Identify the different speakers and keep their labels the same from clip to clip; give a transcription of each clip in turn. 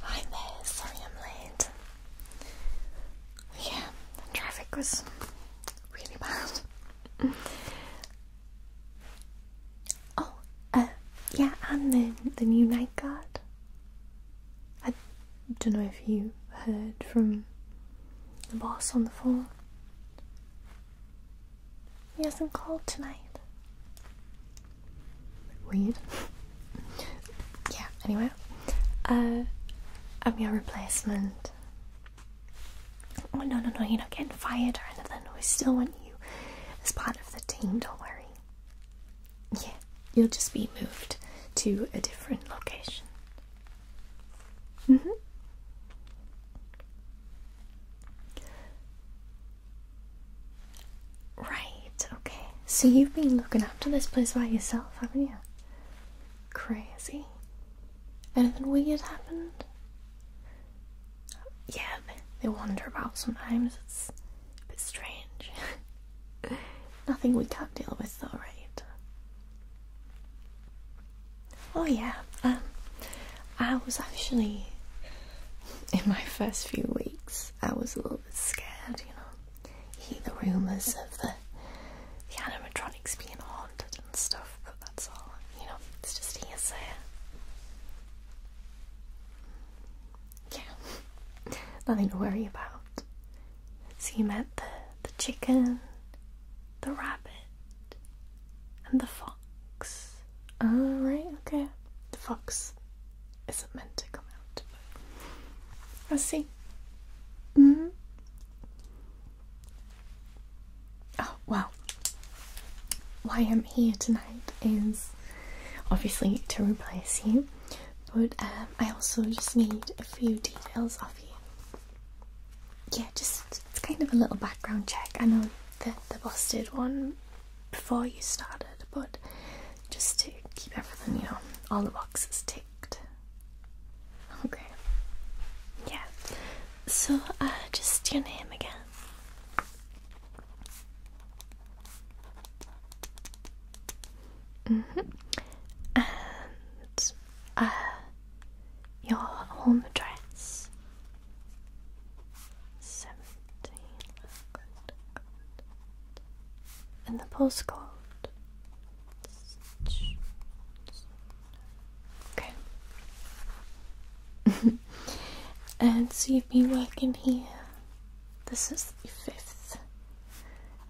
Speaker 1: Hi there, sorry I'm late. Yeah, traffic was really bad. oh, uh, yeah, and the, the new night guard. I don't know if you heard from the boss on the phone. He hasn't called tonight. Weird. yeah, anyway. Uh, I'm your replacement. Oh, no, no, no, you're not getting fired or anything. We still want you as part of the team, don't worry. Yeah, you'll just be moved to a different location. Mm hmm. Right, okay. So you've been looking after this place by yourself, haven't you? Crazy. Anything weird happened? Yeah, they, wander about sometimes. It's a bit strange. Nothing we can't deal with, though, right? Oh yeah, um, I was actually in my first few weeks. I was a little bit scared, you know. hear the rumours of the the animatronics being haunted and stuff, but that's all. You know, it's just hearsay. Yeah, nothing to worry about. So you met the the chicken, the rabbit, and the fox. All oh, right, okay. The fox isn't meant to come out. I see. hmm. Oh, well. Why I'm here tonight is obviously to replace you, but um, I also just need a few details of you yeah, just it's kind of a little background check. I know that the boss did one before you started, but just to keep everything, you know, all the boxes ticked. Okay. Yeah. So, uh, just your name again. Mm-hmm. And uh, your home address. Seventeen. Good, And the postcode. Okay. and so you've been working here. This is the fifth,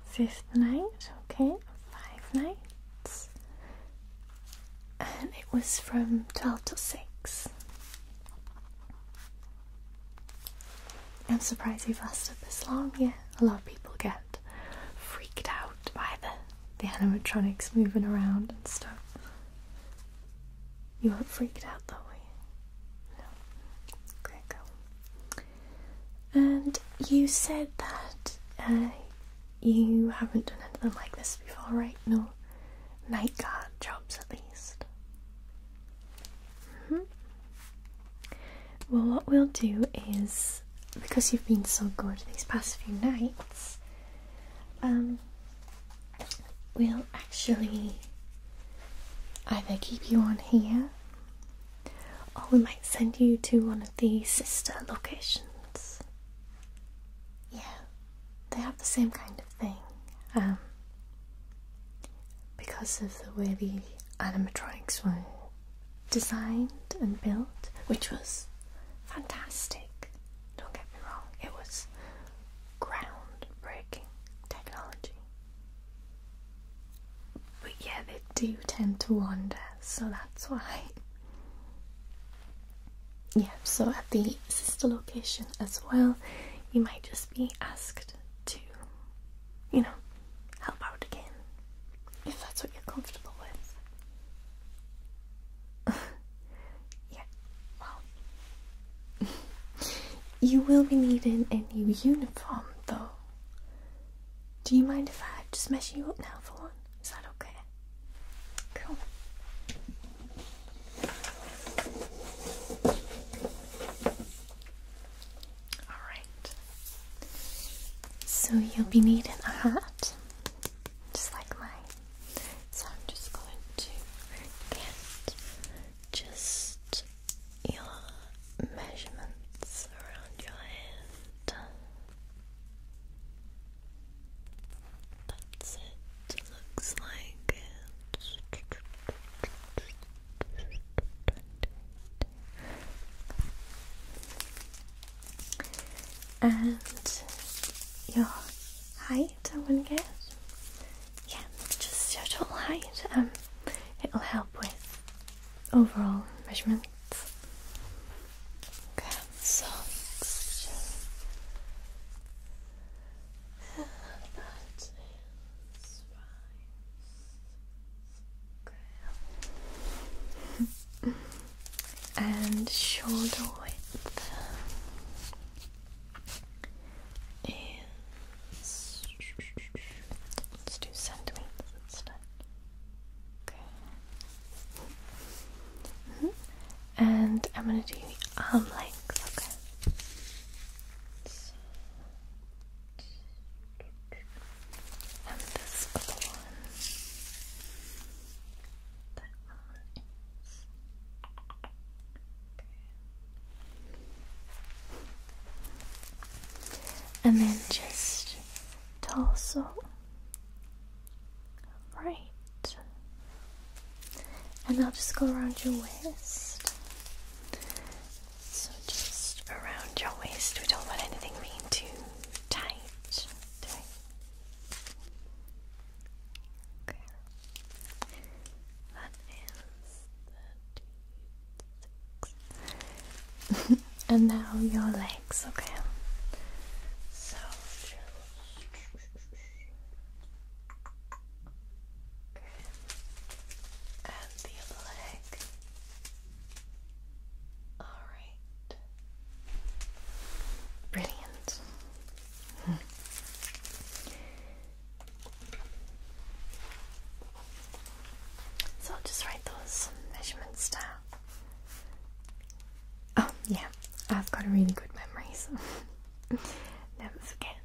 Speaker 1: fifth night. Okay, five nights and it was from 12 to 6. I'm surprised you've lasted this long, yeah. A lot of people get freaked out by the, the animatronics moving around and stuff. You weren't freaked out though, were you? No. Great girl. And you said that uh, you haven't done anything like this before, right? No night guard jobs, at least. Mm-hmm. Well, what we'll do is because you've been so good these past few nights, um, we'll actually either keep you on here or we might send you to one of the sister locations. Yeah, they have the same kind of thing. Um, because of the way the animatronics were designed and built, which was fantastic. Don't get me wrong, it was groundbreaking technology. But yeah, they do tend to wander so that's why. Yeah, so at the sister location as well, you might just be asked to, you know, help out again if that's what you're comfortable with. yeah, well, you will be needing a new uniform though. Do you mind if I just mess you up now for one? Is that okay? Cool. Alright. So you'll be needing a hat, just like mine. So I'm just going to get just your measurements around your head. That's it. Looks like and your height, I want to guess. Yeah, just your total height. Um, it'll help with overall measurements. and shoulder width is let's do centimeters instead. Okay. -hmm. And I'm gonna do the arm length. Okay. And this other one. That one Okay. And then just torso. Right. And I'll just go around your waist. So just around your waist. We don't want anything being too tight. Okay. That is 32. and now your legs, okay? So okay. and the leg. Alright. Brilliant. So I'll just write those measurements down. Oh, yeah, I've got a really good memory, so never forget.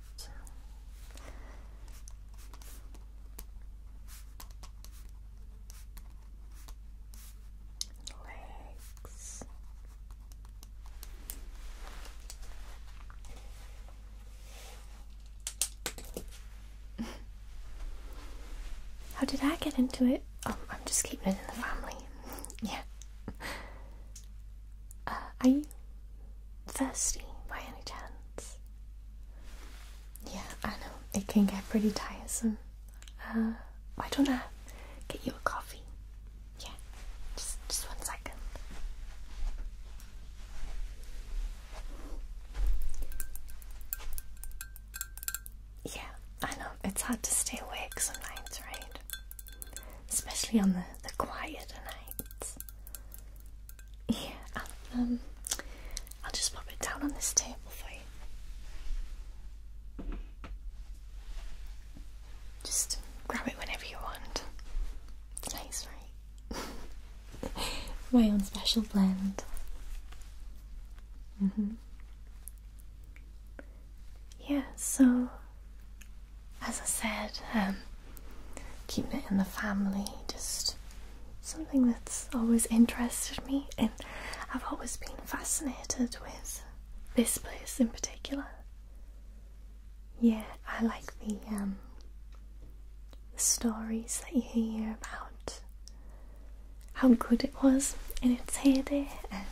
Speaker 1: Legs. How did I get into it? Oh, I'm just keeping it in the family. yeah. Uh, are you thirsty by any chance? Yeah, I know. It can get pretty tiresome. Uh, why don't I get you a coffee? Yeah, just, just one second. Yeah, I know, it's hard to stay awake sometimes, right? Especially on the, the quieter nights. Yeah, I'll, um, I'll just pop it down on this table for you. Just grab it whenever you want. It's nice, right? my own special blend. Mm-hmm. Yeah, so as I said, um, keeping it in the family, just something that's always interested me, and I've always been fascinated with this place in particular. Yeah, I like the um, the stories that you hear about how good it was in its heyday and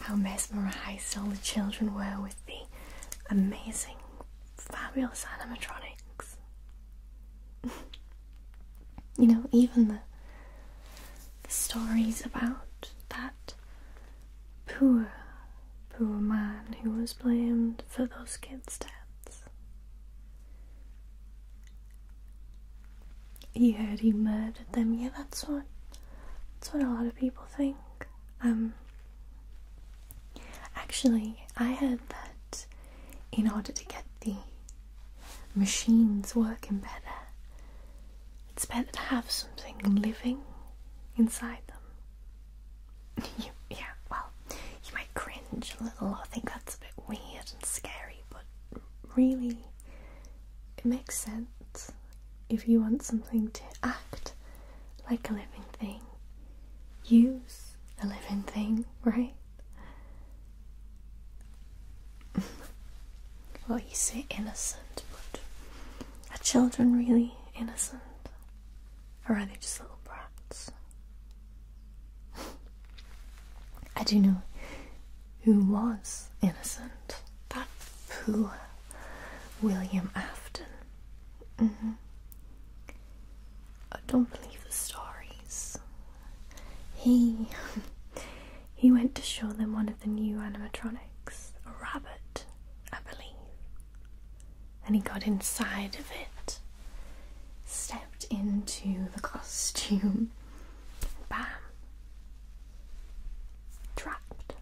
Speaker 1: how mesmerized all the children were with the amazing, fabulous animatronics. you know, even the, stories about that poor, poor man who was blamed for those kids' deaths. You heard he murdered them. Yeah, that's what that's what a lot of people think. Um actually I heard that in order to get the machines working better, it's better to have something living inside them. yeah, well, you might cringe a little or think that's a bit weird and scary, but really, it makes sense. If you want something to act like a living thing, use a living thing, right? well, you say innocent, but are children really innocent? Or are they just little brats? I do know who was innocent. That poor William Afton. Mm-hmm. I don't believe the stories. He he went to show them one of the new animatronics, a rabbit, I believe and he got inside of it, stepped into the costume, bam, trapped.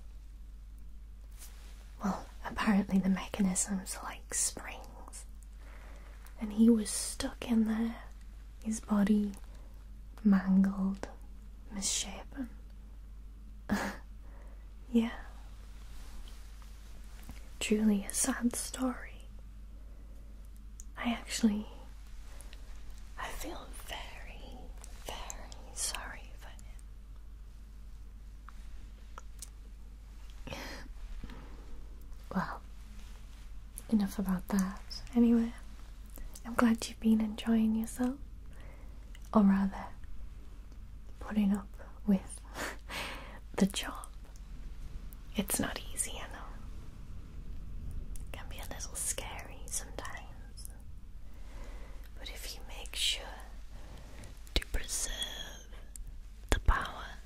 Speaker 1: Well, apparently the mechanisms are like springs, and he was stuck in there, his body mangled, misshapen. yeah. Truly a sad story. I actually. I feel very, very sorry for him. well, enough about that. Anyway, I'm glad you've been enjoying yourself, or rather, putting up with the job. It's not easy, I know. can be a little scary sometimes. But if you make sure to preserve the power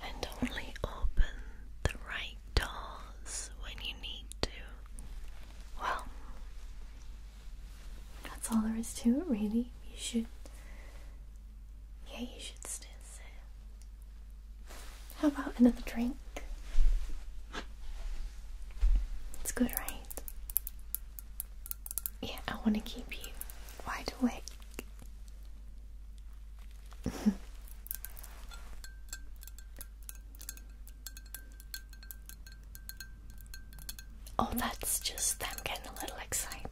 Speaker 1: and only open the right doors when you need to, well, that's all there is to it, really. You should. Yeah, you should still sit. How about another drink? It's good, right? Yeah, I want to keep you wide awake. Oh, that's just them getting a little excited.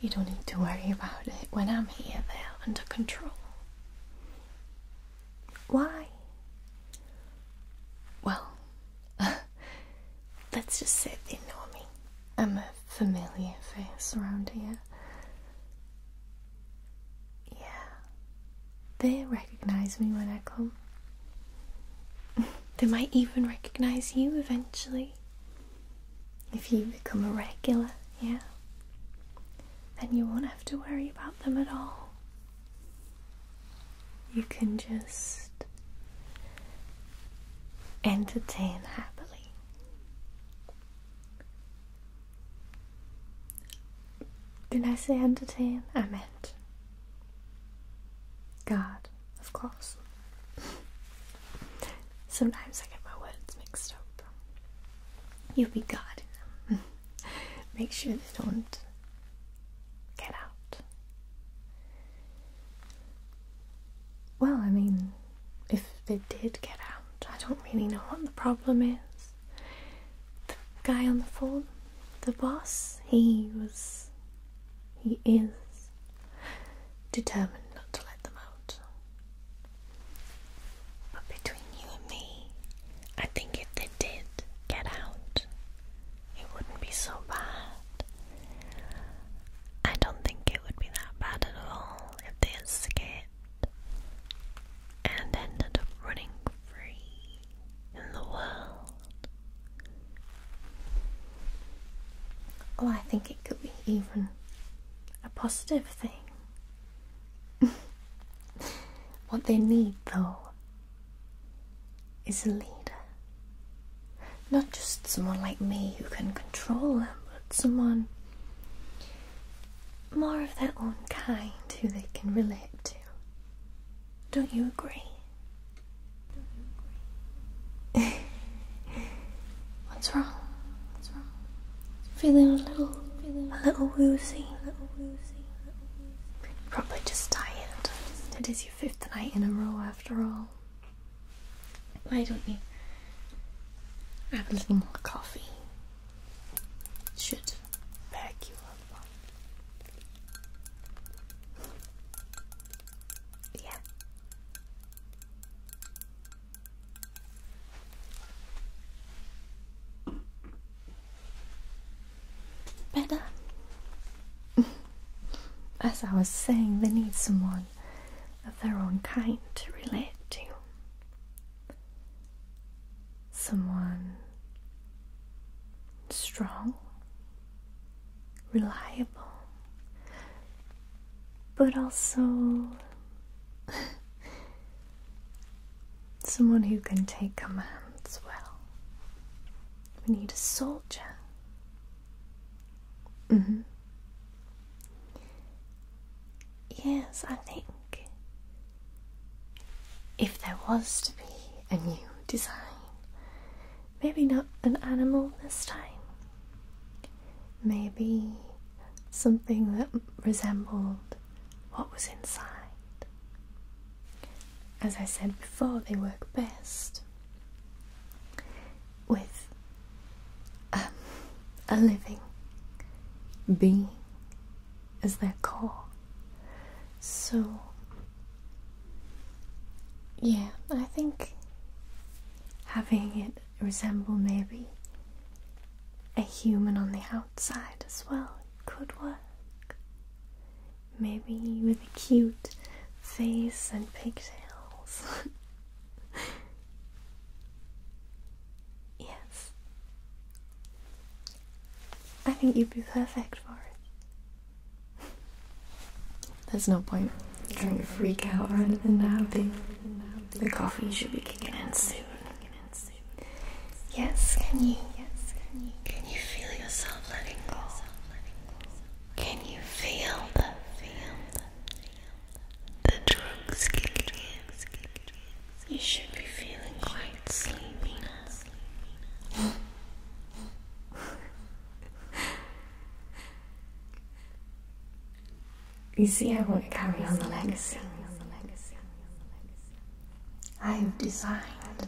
Speaker 1: You don't need to worry about it. When I'm here, they're under control. Why? Well, let's just say they know me. I'm a familiar face around here. Yeah. They recognize me when I come. they might even recognize you eventually. If you become a regular, yeah. Then you won't have to worry about them at all. You can just entertain happily. Did I say entertain? I meant God, of course. Sometimes I get my words mixed up. You will be God. Make sure they don't get out. Well, I mean, if they did get out, I don't really know what the problem is the guy on the phone, the boss, he was, he is determined not to let them out. But between you and me, I think if they did get out, it wouldn't be so bad. I don't think it would be that bad at all if they escaped and ended up running free in the world. Well, I think it could be even a positive thing. what they need, though, is a leader. Not just someone like me who can control them, but someone more of their own kind who they can relate to. Don't you agree? Don't What's wrong? What's wrong? Feeling a little, feeling a little woozy. A little woozy. Probably just tired. It is your fifth night in a row, after all. Why don't you have a little more coffee? should back you up Yeah. Better. As I was saying, they need someone of their own kind to relate to someone strong, reliable, but also someone who can take commands well. We need a soldier. Mm-hmm. Yes, I think. If there was to be a new design, maybe not an animal this time. Maybe something that resembled what was inside. As I said before, they work best with um, a living being is their core. So, yeah, I think having it resemble maybe a human on the outside as well could work. Maybe with a cute face and pigtails. yes. I think you'd be perfect for it. There's no point trying to freak out rather than now. The, coffee should be kicking in soon. Yes, can you? Yes, can you? Can you feel yourself letting go? Can you feel the feel the drugs You should be feeling quite sleepy now. you see, I won't carry on the legacy. I have designed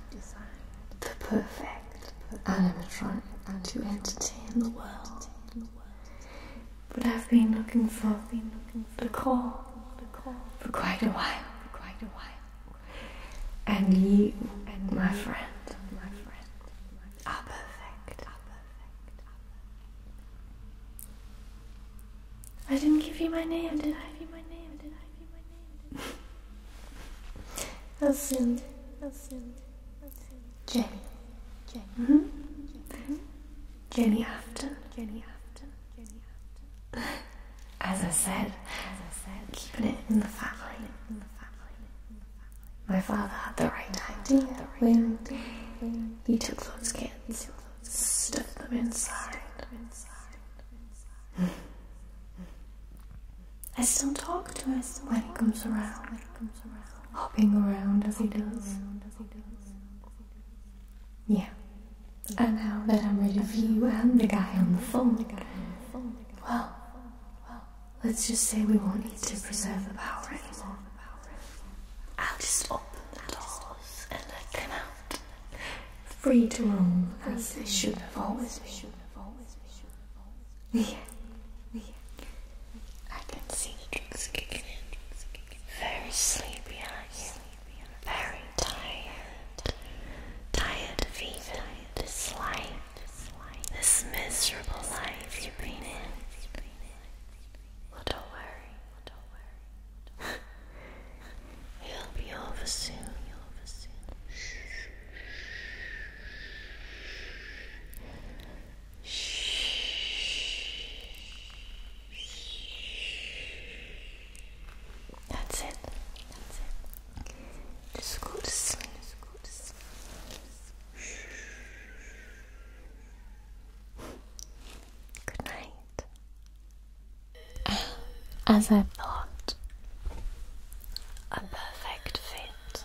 Speaker 1: the perfect animatronic to entertain the world. But I've been looking for, been looking for the call, for quite a while, for quite a while. And you, and my friend, are perfect, I didn't give you my name, did I? Give my name, did I? Give my name, did I? Ascend, ascend, ascend. Jane, Jane. Mm-hmm. mm-hmm. Jenny Afton. Jenny Afton. Jenny Afton. As I said, keeping it in the family. My father had the right idea he took those kids, stuffed them inside. I still talk to him when he comes around, hopping around as he does. Yeah. And now that I'm rid of you and the guy on the phone, well, let's just say we won't need to preserve the power anymore. I'll just open the doors and let them out. Free to roam as they should have always been. Yeah. I can see the drugs kicking in. Very sleepy, aren't Very tired. Tired of even this life, this miserable life you are been in. Well, don't worry. It'll be over soon. That's it. That's it. Discurso. Discurso. Good night. As I thought, a perfect fit.